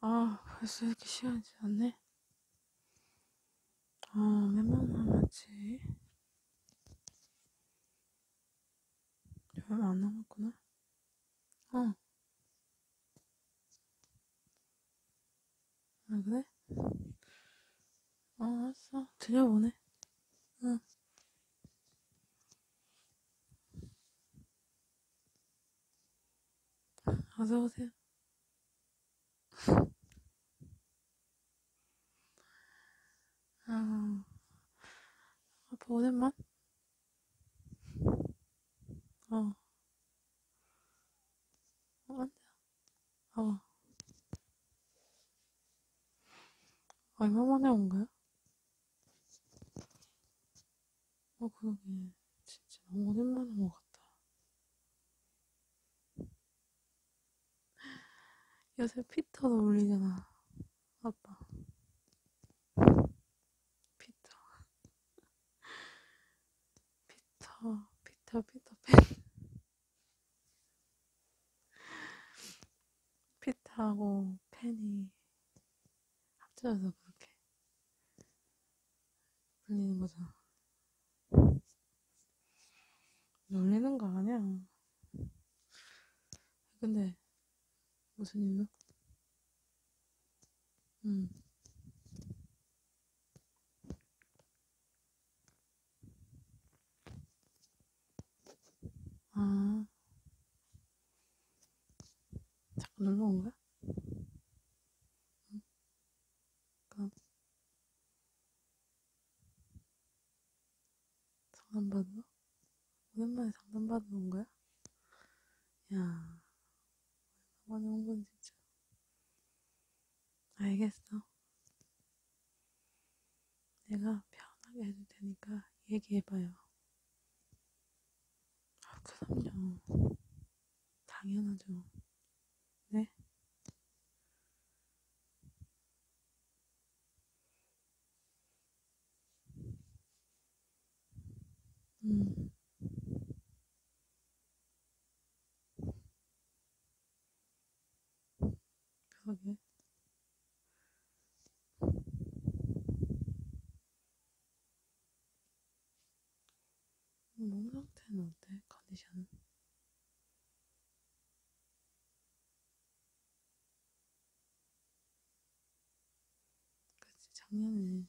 아, 벌써 이렇게 시간이 지났네? 아, 몇명 남았지? 얼마 안 남았구나. 어. 아, 그래? 어, 알았어. 들려보내. 응. 어서 오세요. 아, 아빠 오랜만? 어. 어, 앉아. 아. 얼마 만에 온 거야? 어, 그러게. 진짜 너무 오랜만에 온것 같다. 요새 피터도 울리잖아. 아빠. 피터. 피터, 피터, 피터, 팬. 피트하고 팬이 합쳐져서 그렇게 불리는 거잖아. 놀리는 거 아니야. 근데 무슨 일로? 음. 아. 잠깐 놀러 온 거야? 응? 잠깐. 상담받으러? 오랜만에 상담받으러 온 거야? 야, 오랜만에 온 건 진짜. 알겠어. 내가 편하게 해줄 테니까 얘기해봐요. 아, 그럼요. 당연하죠. 네? 음. 그러게. 몸 상태는 어때? 컨디션은? 그치, 작년에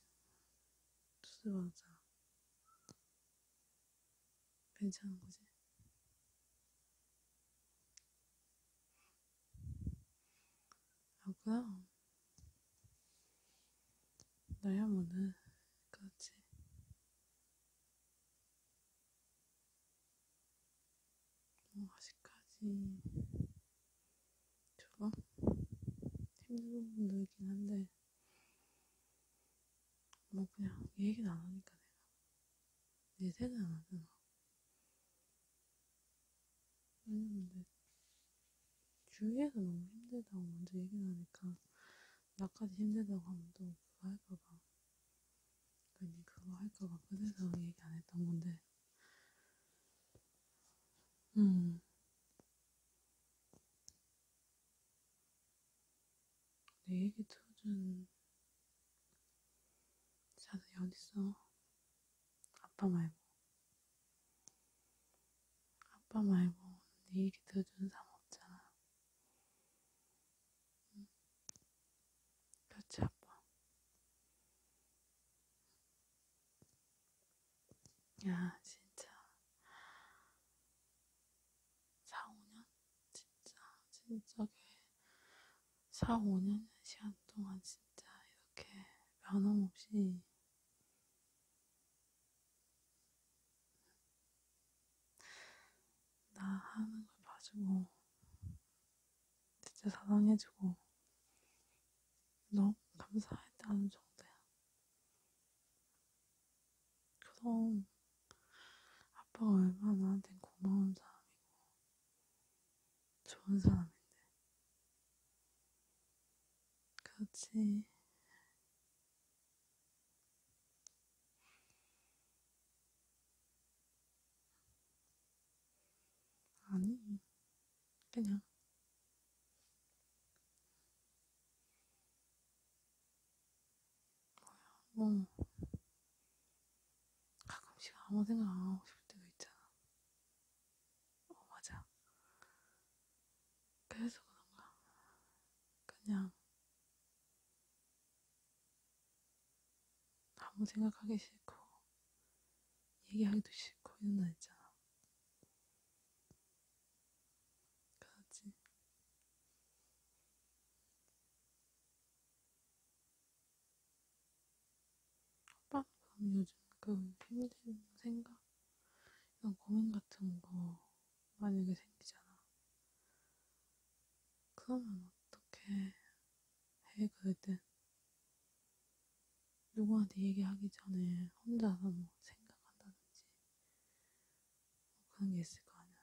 수술 받았잖아. 괜찮은 거지? 라고요? 나야 뭐는 그렇지. 뭐 아직까지 조금 힘든 부분도 있긴 한데 뭐 그냥 얘기는 안 하니까 내가 내 생각 안 하잖아 왜냐면 내 주위에서 너무 힘들다고 먼저 얘기를 하니까 나까지 힘들다고 하면 또 그거 할까봐 괜히 그거 할까봐 그래서 얘기 안 했던 건데 음내 얘기 들어준 자들이 어딨어? 아빠 말고. 아빠 말고 내 얘기 들어준 사람 없잖아. 응. 그렇지, 아빠. 야, 진짜. 4, 5년? 진짜, 진짜 그 4, 5년 시간 동안 진짜 이렇게 변함없이 나 하는 걸 봐주고 진짜 사랑해주고 너무 감사했다는 정도야. 그럼 아빠가 얼마나 나한테 고마운 사람이고 좋은 사람인데. 그렇지. 아니, 그냥 뭐 가끔씩 아무 생각 안 하고 싶을 때가 있잖아. 어 맞아. 그래서 그런가. 그냥 아무 생각하기 싫고 얘기하기도 싫고 이런 날 있잖아. 가지 호박 그럼 요즘 그 힘든 생각 이런 고민 같은 거 만약에 생기잖아 그러면 어떻게 해 그럴 땐 누구한테 얘기하기 전에 혼자서 뭐 생각한다든지 어, 그런 게 있을 거 아니야.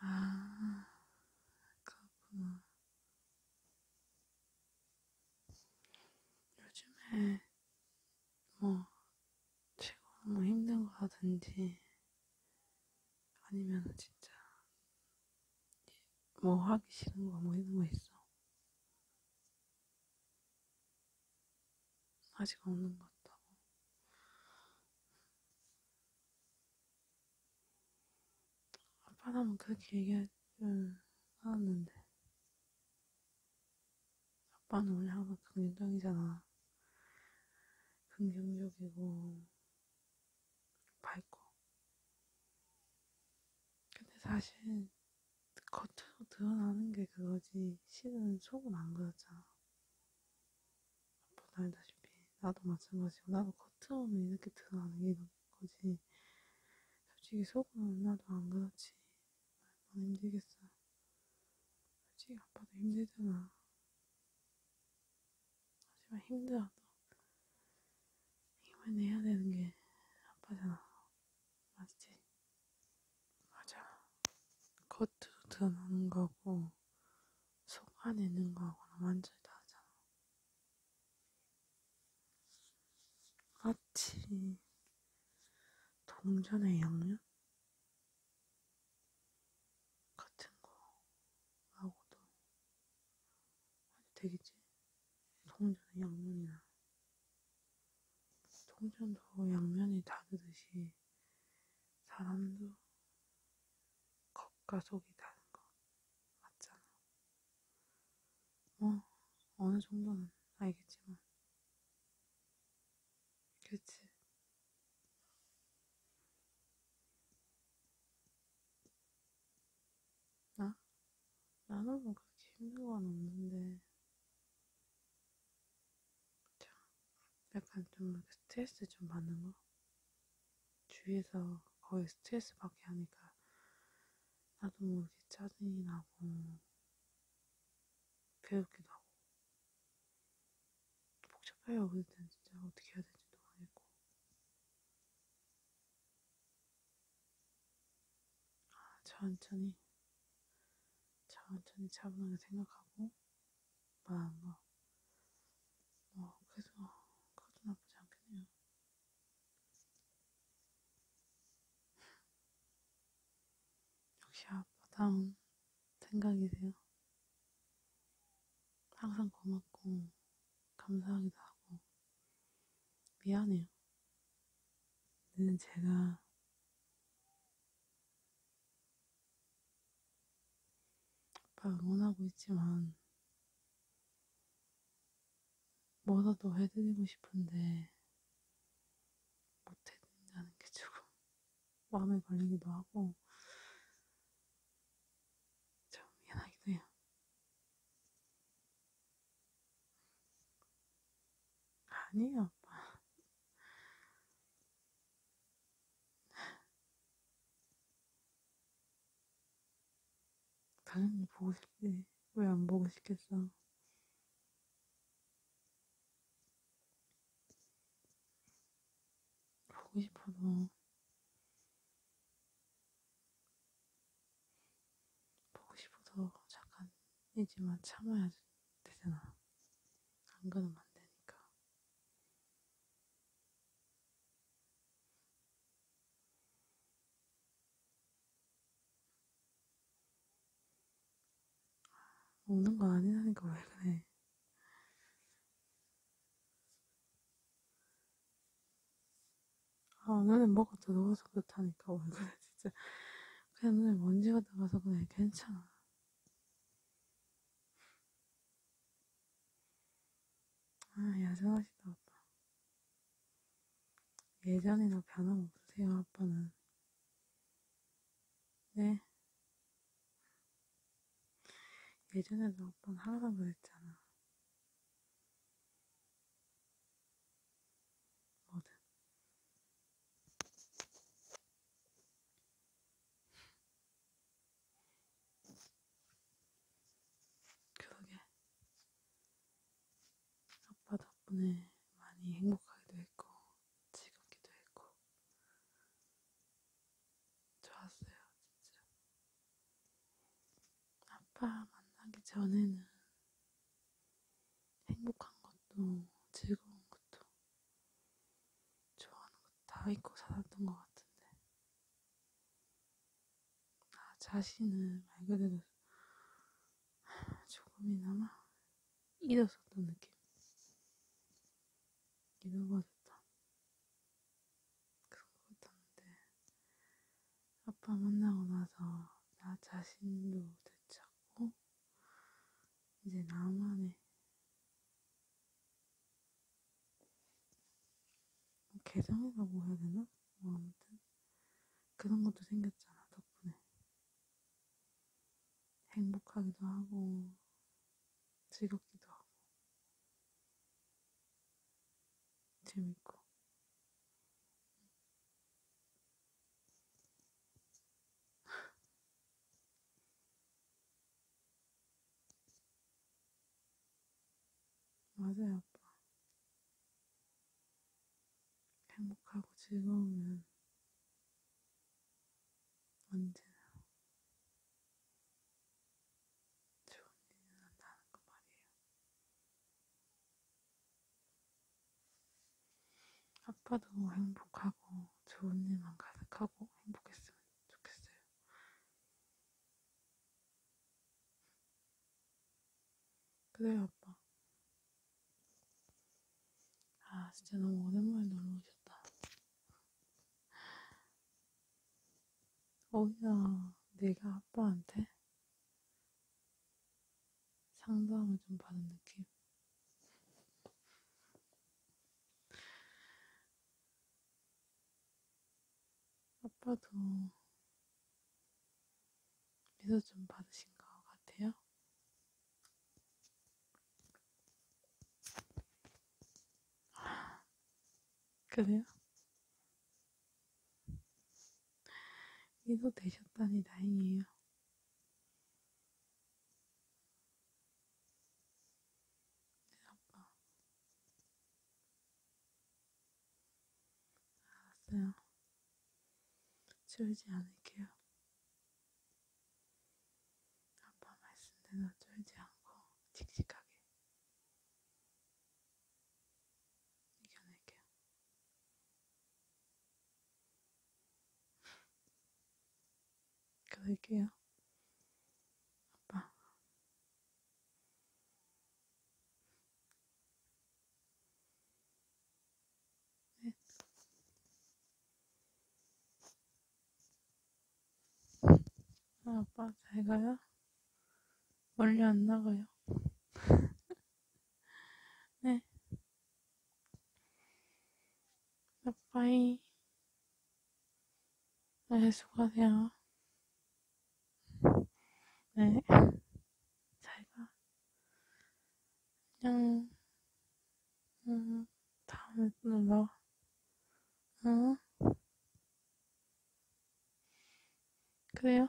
아, 그렇구나. 요즘에, 뭐, 최고 너무 뭐 힘든 거라든지, 아니면 진짜 뭐 하기 싫은 거뭐 이런 거 있어? 아직 없는 것 같다고. 아빠라면 그렇게 얘기할 줄 알았는데. 아빠는 원래 항상 긍정적이잖아. 긍정적이고, 밝고. 근데 사실 겉으로 드러나는 게 그거지. 실은 속은 안 그렇잖아. 아빠도 알다시피 나도 마찬가지고 나도 겉으로는 이렇게 드러나는 게 거지. 솔직히 속은 나도 안 그렇지. 얼마나 힘들겠어. 솔직히 아빠도 힘들잖아. 하지만 힘들어도 힘을 내야 되는 게 아빠잖아. 맞지? 맞아. 겉으로 드러나는 거고 속 안에 있는 거하고는 완전히 다르잖아. 마치 동전의 양면? 같은 거하고도 아주 되겠지? 동전은 양면이나 동전도 양면이 다르듯이 사람도 겉과 속이 다른 거 맞잖아. 뭐 어느 정도는 알겠지만 그렇지. 나? 나는 뭐 그렇게 힘든 건 없는데. 자, 약간 좀 스트레스 좀 받는 거? 주위에서 거의 스트레스 받게 하니까 나도 모르게 뭐 짜증이 나고, 괴롭기도 하고. 복잡해요. 그땐 진짜 어떻게 해야 될지도 모르겠고. 아, 천천히, 천천히 차분하게 생각하고 말하는 거. 어, 그래도, 그것도 나쁘지 않겠네요. 역시 아빠다운 생각이세요. 항상 고맙고 감사하기도 하고 미안해요. 늘 제가 아빠 응원하고 있지만 뭐라 도 해드리고 싶은데 못해드린다는 게 조금 마음에 걸리기도 하고 참 미안하기도 해요. 아니에요, 아빠. 당연히 보고 싶지. 왜 안 보고 싶겠어? 보고 싶어도 보고 싶어도 잠깐이지만 참아야 되잖아. 안 그러면 안 되니까. 우는 아, 거 아니라니까 왜 그래. 아, 오늘은 뭐가 더러워서 그렇다니까, 오늘 진짜. 그냥 오늘 먼지가 나가서 그냥 괜찮아. 아, 야전하시다, 아빠. 예전이나 변함없으세요, 아빠는. 네. 예전에도 오빠는 항상 그랬잖아. 뭐든. 그러게. 아빠 덕분에 많이 행복하기도 했고, 즐겁기도 했고, 좋았어요, 진짜. 아빠 만나기 전에는 행복한 것도 즐거운 것도 좋아하는 것도 다 잊고 살았던 것 같은데. 나 자신을 말 그대로 조금이나마 잊었었던 느낌. 잊어버렸다. 그런 것 같았는데, 아빠 만나고 나서 나 자신도 되찾고, 이제 나만의 개정이라고 뭐 해야 되나? 뭐 아무튼 그런 것도 생겼잖아 덕분에 행복하기도 하고 즐겁기도 하고 재밌고 맞아요 아빠 행복하고 즐거우면 언제나 좋은 일이 난다는 거 말이에요. 아빠도 행복하고 좋은 일만 가득하고 행복했으면 좋겠어요. 그래요, 아빠. 아, 진짜 너무 오랜만에 놀러 오셨다. 오히려 내가 아빠한테 상담을 좀 받은 느낌. 아빠도 미소 좀 받으신 것 같아요. 그래요? 이도 되셨다니 다행이에요. 네, 아빠. 알았어요. 지우지 않을게요. 아빠 말씀대로 쫄지 않고 씩씩하게 이겨낼게요. 그럴게요. 아빠. 네. 아, 아빠 잘 가요? 멀리 안 나가요. 네. 빠이. 네, 수고하세요. 네. 잘 가. 안녕. 응, 다음에 또 뭐? 연락. 어? 응? 그래요?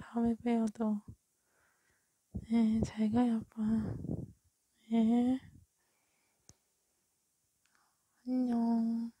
다음에 봬요, 또. 네, 잘 가요, 아빠. 네. 안녕.